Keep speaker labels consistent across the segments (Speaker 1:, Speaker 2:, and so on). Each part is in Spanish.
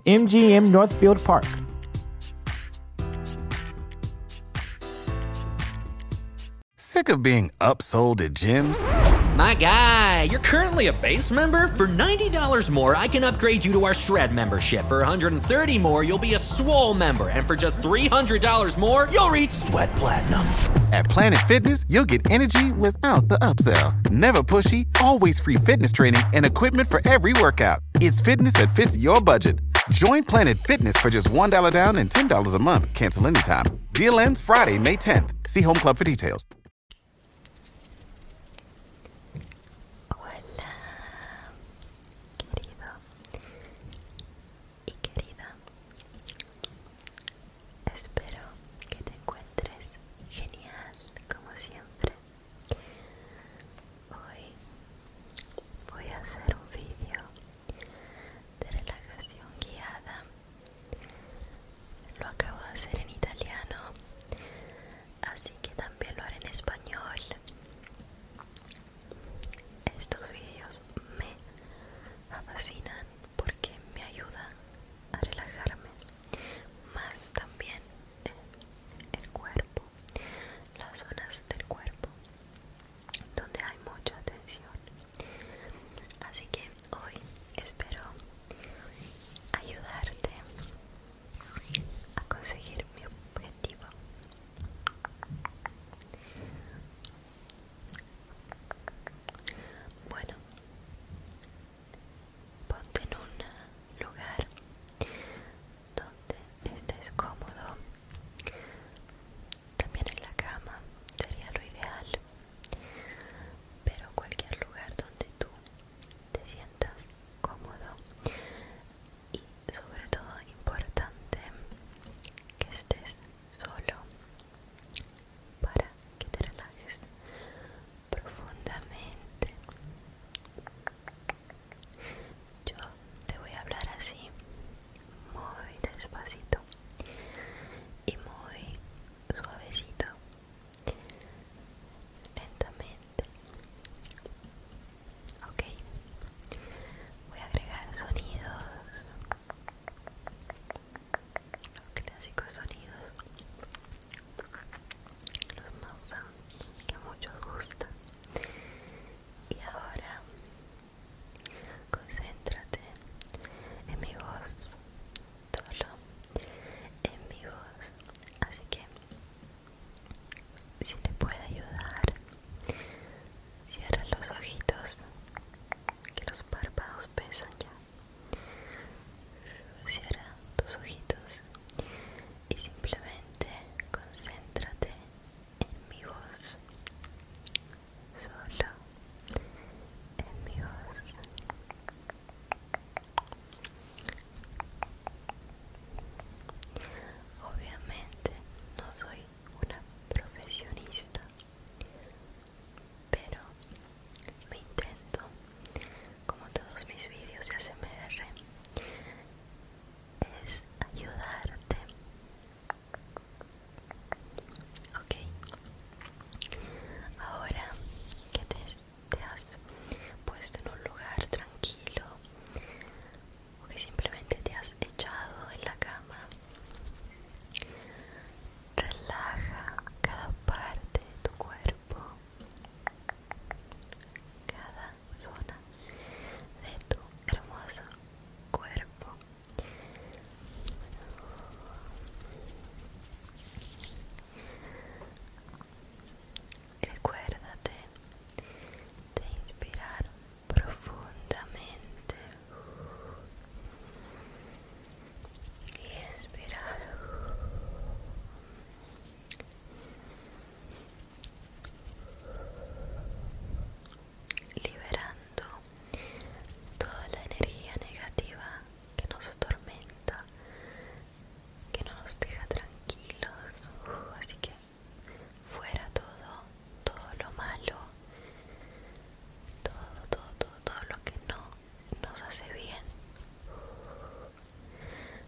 Speaker 1: MGM Northfield Park. Sick of being upsold at gyms? My guy, you're currently a base member. For $90 more, I can upgrade you to our Shred membership. For $130 more, you'll be a swole member. And for just $300 more, you'll reach Sweat Platinum. At Planet Fitness, you'll get energy with without the upsell. Never pushy, always free fitness training and equipment for every workout. It's fitness that fits your budget. Join Planet Fitness for just $1 down and $10 a month. Cancel anytime. Deal ends Friday, May 10th. See Home Club for details. Hola, querido y querida. Espero que te
Speaker 2: encuentres genial como siempre hoy voy a hacer un vídeo de relajación guiada lo acabo de hacer en italiano así que también lo haré en español estos vídeos me fascinan porque me ayudan a relajarme más también eh, el cuerpo, las zonas del cuerpo donde hay mucha tensión. Así que hoy espero ayudarte a conseguir mi objetivo. Bueno, Ponte en un lugar donde estés cómodo. También en la cama sería lo ideal. Pero cualquier lugar donde tú te sientas cómodo. Y sobre todo importante que estés solo para que te relajes profundamente. Yo te voy a hablar así, muy despacito y muy suavecito, lentamente. Ok, voy a agregar sonidos los clásicos sonidos los mouse que a muchos gustan y ahora concéntrate en mi voz solo en mi voz así que si te puede ayudar cierra los ojitos que los párpados pesan ya Cierra tus ojitos y simplemente concéntrate en mi voz. Solo en mi voz. Obviamente no soy una profesionista pero mi intento como todos mis vídeos de ASMR es ayudarte ok ahora que te has puesto en un lugar tranquilo o que simplemente te has echado en la cama relaja cada parte de tu cuerpo cada zona de tu hermoso cuerpo recuérdate de inspirar profundamente y esperar liberando toda la energía negativa que nos atormenta que no nos deja tranquilos así que fuera todo todo lo malo todo todo todo lo que no nos hace bien.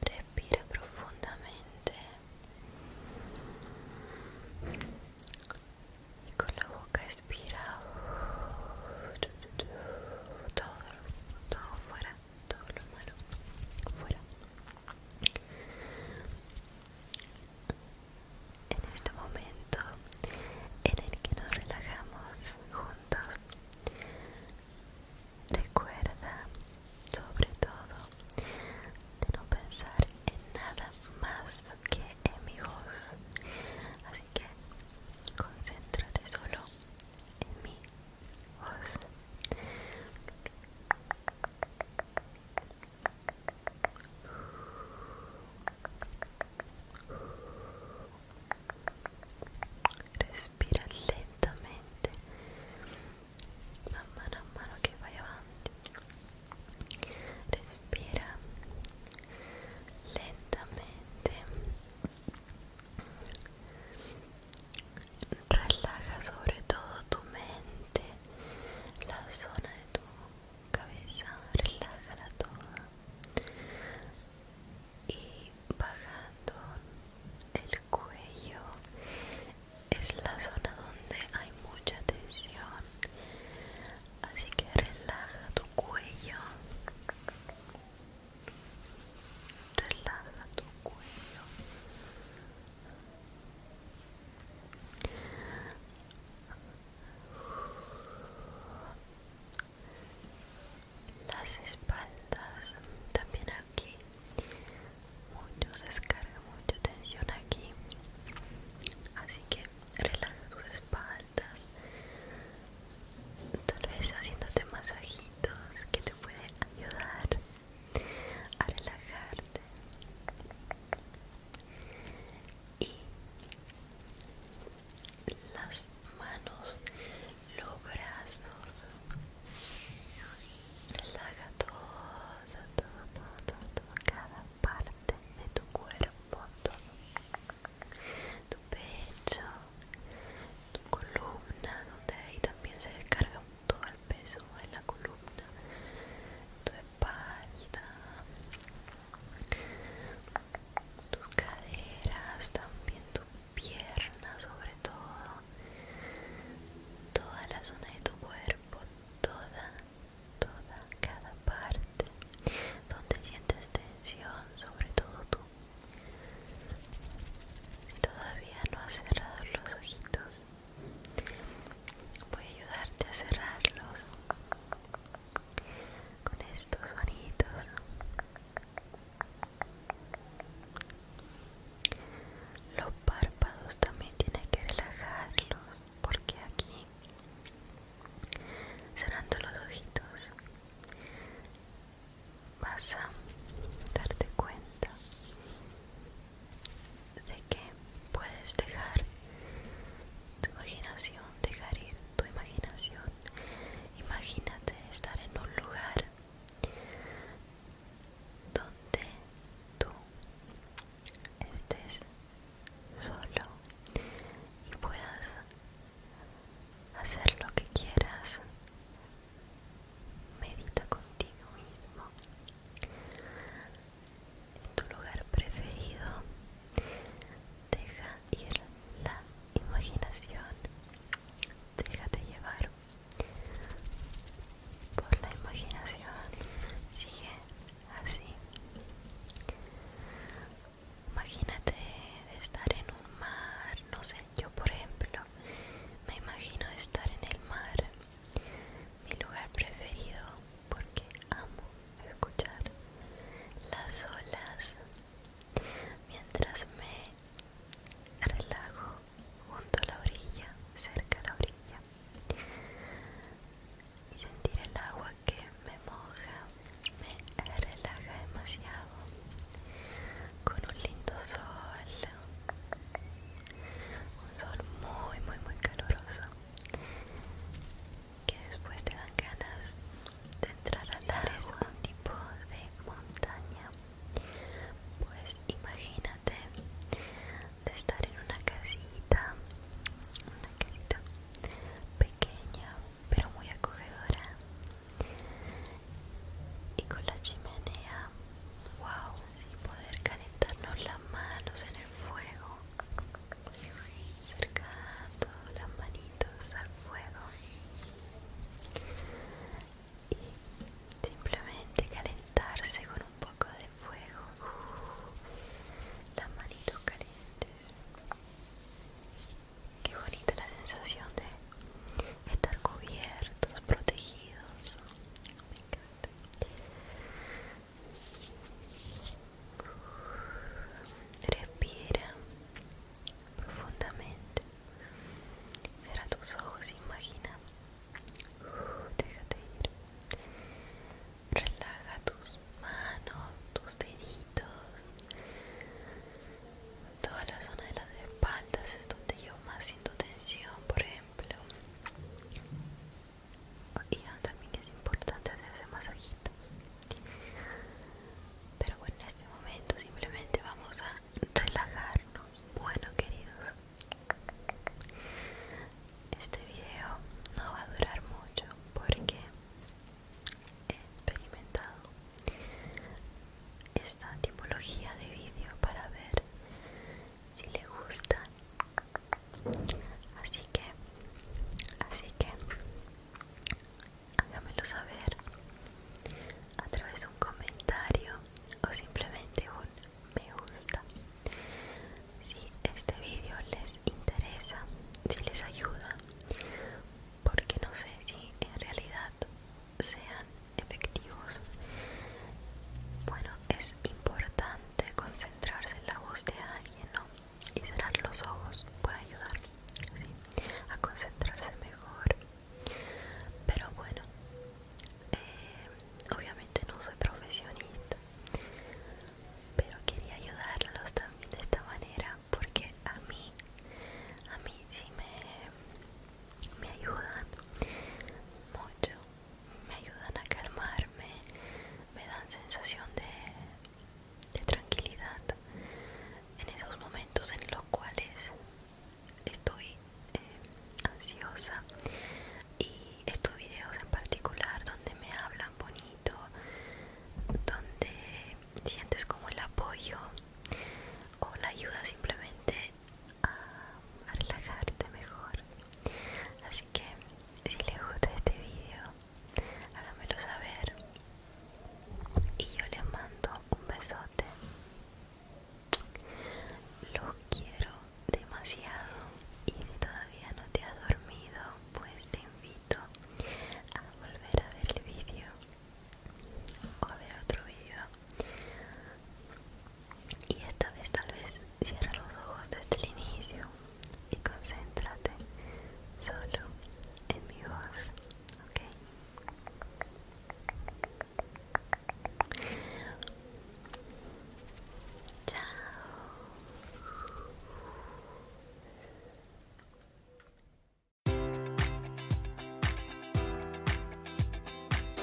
Speaker 2: Respira profundamente y con la boca expira todo, todo fuera, todo lo malo fuera. En este momento en el que nos relajamos juntos, Recuerda, sobre todo, de no pensar en nada más que en mi voz. Así que concéntrate solo en mi voz respira lentamente mano a mano que vaya respira lentamente relaja sobre todo tu mente la zona de tu cabeza relaja toda y bajando el cuello es la zona donde hay mucha tensión así que relaja tu cuello relaja tu cuello las espaldas también aquí mucho descarga mucha tensión aquí así que relaja tus espaldas tal vez haciéndote masajitos que te pueden ayudar a relajarte y las manos, los brazos. Relaja todo, toma, toma, toda, cada parte de tu cuerpo, todo. Tu pecho, tu columna, donde ahí también se descarga todo el peso en la columna, tu espalda, tus caderas, también pierna sobre todo, toda la zona de tu cuerpo, toda, toda, cada parte, donde sientes tensión, sobre todo tú. Si todavía no has cerrado los ojitos, voy a ayudarte a cerrarlos con estos sonidos. Los párpados también tienes que relajarlos porque aquí cerrando los ojitos vas a darte cuenta de que puedes dejar tu imaginación dejar ir tu imaginación. Imagínate estar en un lugar donde tú estés solo y puedas hacer lo que quieras. Medita contigo mismo en tu lugar preferido Deja ir la imaginación. Déjate llevar por la imaginación. Sigue así. Imagínate de estar en un mar, no sé, yo por ejemplo me imagino estar en el mar, mi lugar preferido porque amo escuchar las olas mientras me relajo junto a la orilla, cerca a la orilla, y sentir el agua que me moja me relaja demasiado con un lindo sol, un sol muy, muy, muy caluroso que después te dan ganas de entrar al agua es un tipo de montaña pues imagínate de estar en una casita una casita pequeña pero muy acogedora y con la chimenea wow y poder calentarnos las manos en el fuego las al fuego y simplemente calentarse con un poco de fuego las manitos calientes qué bonita la sensación de estar cubiertos protegidos me encanta respira profundamente. Cierra tus ojos e imagina. Uh, déjate ir. Relaja tus manos, tus deditos. Toda la zona de las espaldas es donde yo más siento tensión, por ejemplo. Y también es importante hacerse masajitos. Pero bueno, en este momento simplemente vamos a relajarnos. Bueno, queridos, este video no va a durar mucho porque he experimentado esta tipología de vídeo para ver si le gusta así que así que hágamelo saber a través de un comentario o simplemente un me gusta si este vídeo les interesa si les ayuda porque no sé si en realidad sean efectivos bueno es importante concentrarse en la voz de alguien no y cerrar los ojos puede ayudar a concentrarse mejor pero bueno eh, obviamente no soy profesionista pero quería ayudarlos también de esta manera porque a mí a mí sí me ayudan mucho me ayudan a calmarme me dan sensación de de tranquilidad en esos momentos en los cuales estoy eh, ansiosa y estos videos en particular donde me hablan bonito donde sientes como el apoyo o la ayuda simplemente a, relajarte mejor así que si les gusta este video háganmelo saber y yo les mando un besote los quiero demasiado y si todavía no te has dormido pues te invito a volver a ver el vídeo o a ver otro vídeo
Speaker 1: y esta vez tal vez cierra los ojos desde el inicio y concéntrate solo en mi voz ciao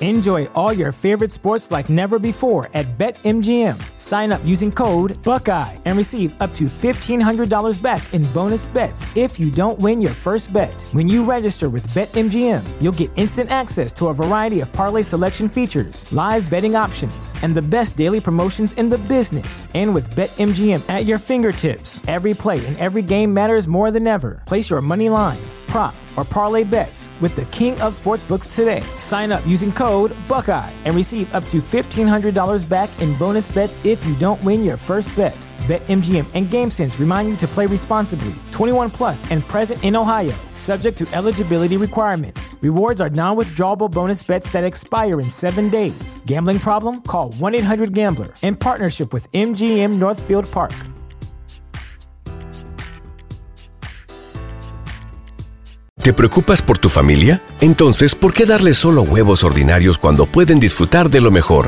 Speaker 1: Enjoy all your favorite sports like never before at BetMGM. Sign up using code Buckeye and receive up to $1,500 back back in bonus bets if you don't win your first bet. When you register with BetMGM, you'll get instant access to a variety of parlay selection features, live betting options, and the best daily promotions in the business. And with BetMGM at your fingertips, every play and every game matters more than ever. Place your money line prop or parlay bets with the king of sportsbooks today. Sign up using code Buckeye and receive up to $1,500 back in bonus bets if you don't win your first bet. BetMGM and GameSense remind you to play responsibly. 21 plus and present in Ohio, subject to eligibility requirements. Rewards are non withdrawable bonus bets that expire in seven days. Gambling problem? Call 1 800 Gambler in partnership with MGM Northfield Park. ¿Te preocupas por tu familia? Entonces, ¿por qué darles solo huevos ordinarios cuando pueden disfrutar de lo mejor?